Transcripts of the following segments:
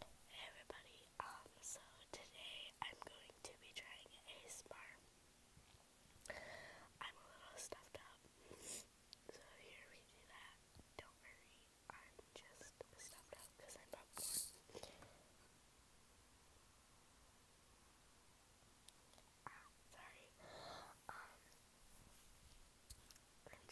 Hey everybody, um, so today I'm going to be trying ASMR. I'm a little stuffed up, so here we do that. Don't worry, I'm just stuffed up because I'm popcorn. Ah, sorry. Um,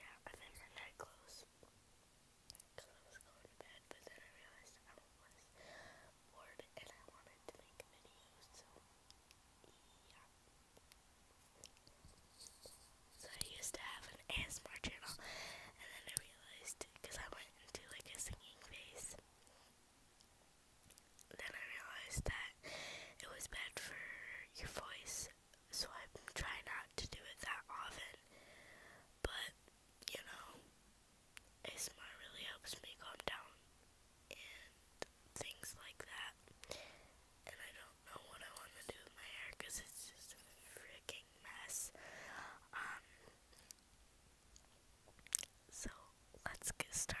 yeah, I'm in my night clothes because I was going to bed, but then I realized I was bored and I wanted to make videos, so yeah. So I used to have an ASMR channel, and then I realized, because I went into like a singing phase, then I realized that it was bad for your voice, so so I try not to do it that often. But, you know, ASMR really helps me calm down and things like that. And I don't know what I want to do with my hair because it's just a freaking mess. Um, so let's get started.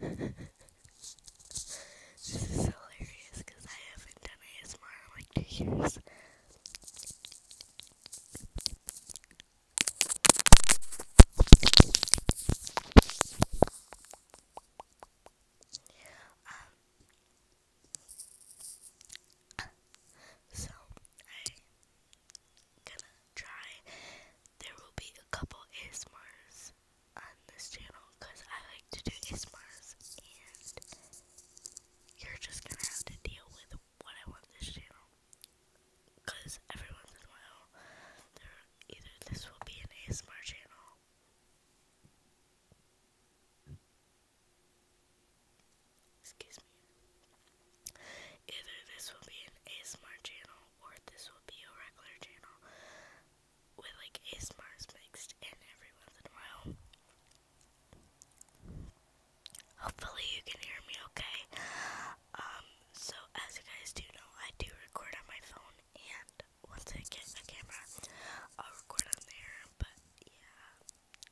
this is hilarious because I haven't done ASMR in like two years. Um, so, I gonna try. There will be a couple ASMRs on this channel because I like to do ASMRs, and you're just gonna have to deal with what I want this channel. Because every once in a while, there either this will be an ASMR channel. Excuse me. Either this will be an ASMR channel or this will be a regular channel with like ASMRs mixed in every once in a while. Hopefully you can hear me okay. Um, so as you guys do know, I do record on my phone and once I get a camera, I'll record on there, but yeah,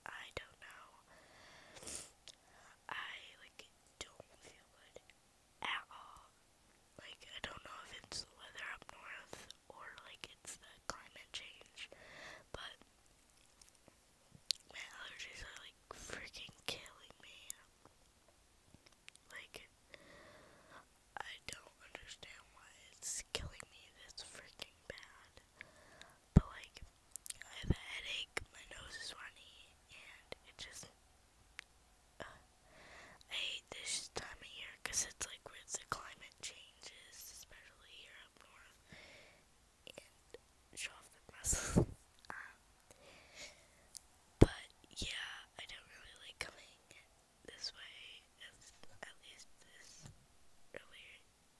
I don't know. I like don't feel good at all. Like I don't know if it's the weather up north or like it's the climate change, but my allergies are like freaking killing me. Like I don't understand why it's killing me this freaking bad. But like, I have a headache, my nose is runny, and it just. Uh, I hate this time of year because it's like where the climate changes, especially here up north, and show the muscles. Um, but yeah, I don't really like coming this way, at least this earlier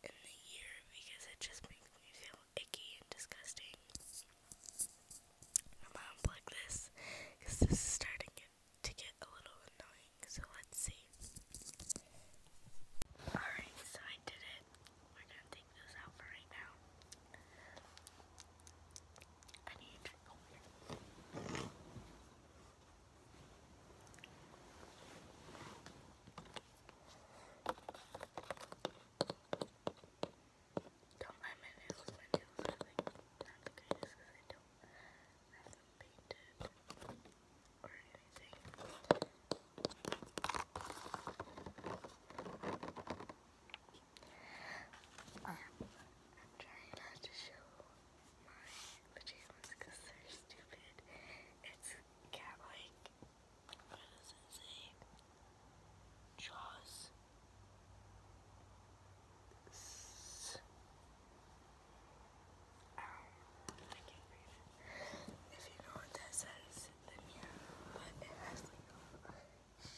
in the year, because it just makes me feel icky and disgusting. I'm gonna unplug this because this is starting to get a little annoying. So let's see. Alright, so I did it. We're gonna take those out for right now. I need don't mind my nails. My nails are like not the greatest because I don't have them painted or anything. Um, I'm trying not to show my pajamas because they're stupid. It's cat what Jaws. I can't read it. If you know what that says, then yeah. But it has like a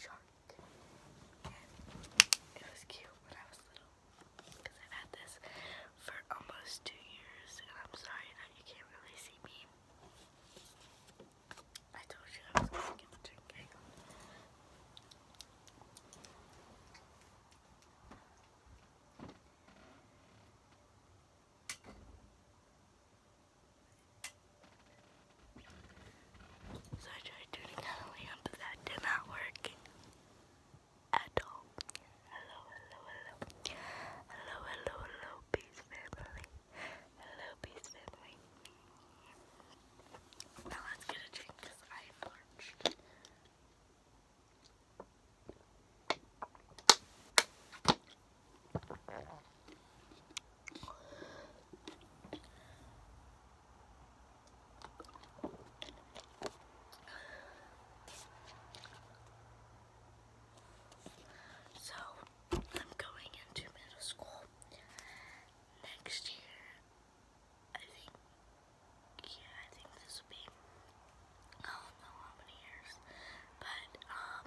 shark. it was cute when I was little. Because I've had this for almost two years. And I'm sorry that you can't really see me. I told you I was gonna get the drink So I tried doing it on lamp, but that did not work at all. Hello, hello, hello. Hello, hello, hello, peace family a little Now let's get a drink because I am So I'm going into middle school next year. I think, yeah, I think this will be, I don't know how many years, but, um,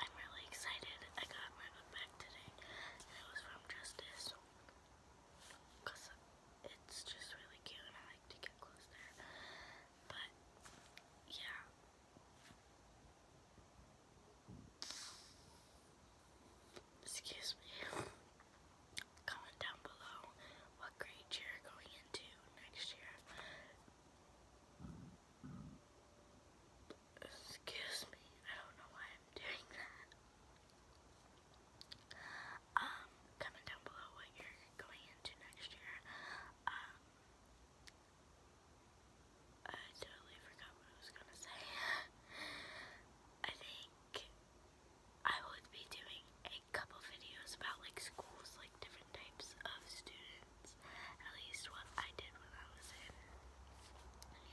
I'm really excited. I got my book back today, it was from Justice, because it's just really cute, and I like to get close but, yeah, Excuse me. Comment down below what grade you're going into next year. Excuse me, I don't know why I'm doing that. Um, comment down below what you're going into next year. Um, I totally forgot what I was gonna say. I think I would be doing a couple videos about like schools, like different types of students. At least what I did when I was in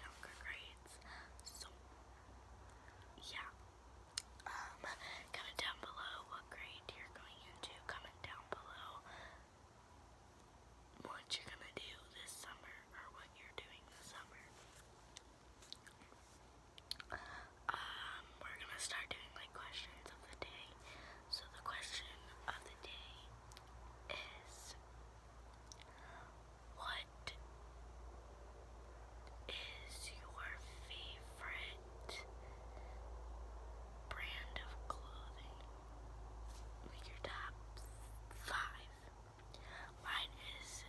younger grades. So yeah. Um, comment down below what grade you're going into. Comment down below what you're gonna do this summer or what you're doing this summer. Um, we're gonna start doing like questions of the day. So the question of the day is what is your favorite brand of clothing? Make your top five. Mine is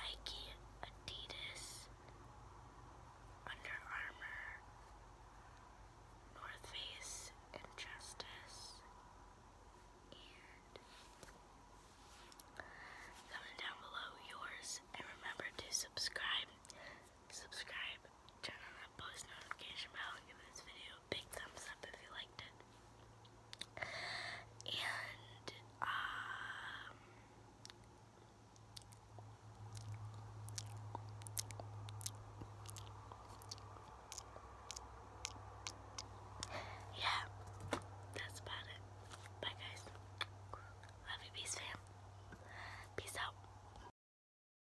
Nike, Adidas, Under Armour, North Face, and Justice. comment down below yours and remember to subscribe subscribe, turn on that post notification bell, give this video a big thumbs up if you liked it. And, um, yeah, that's about it. Bye, guys. Love you, peace, fam. Peace out.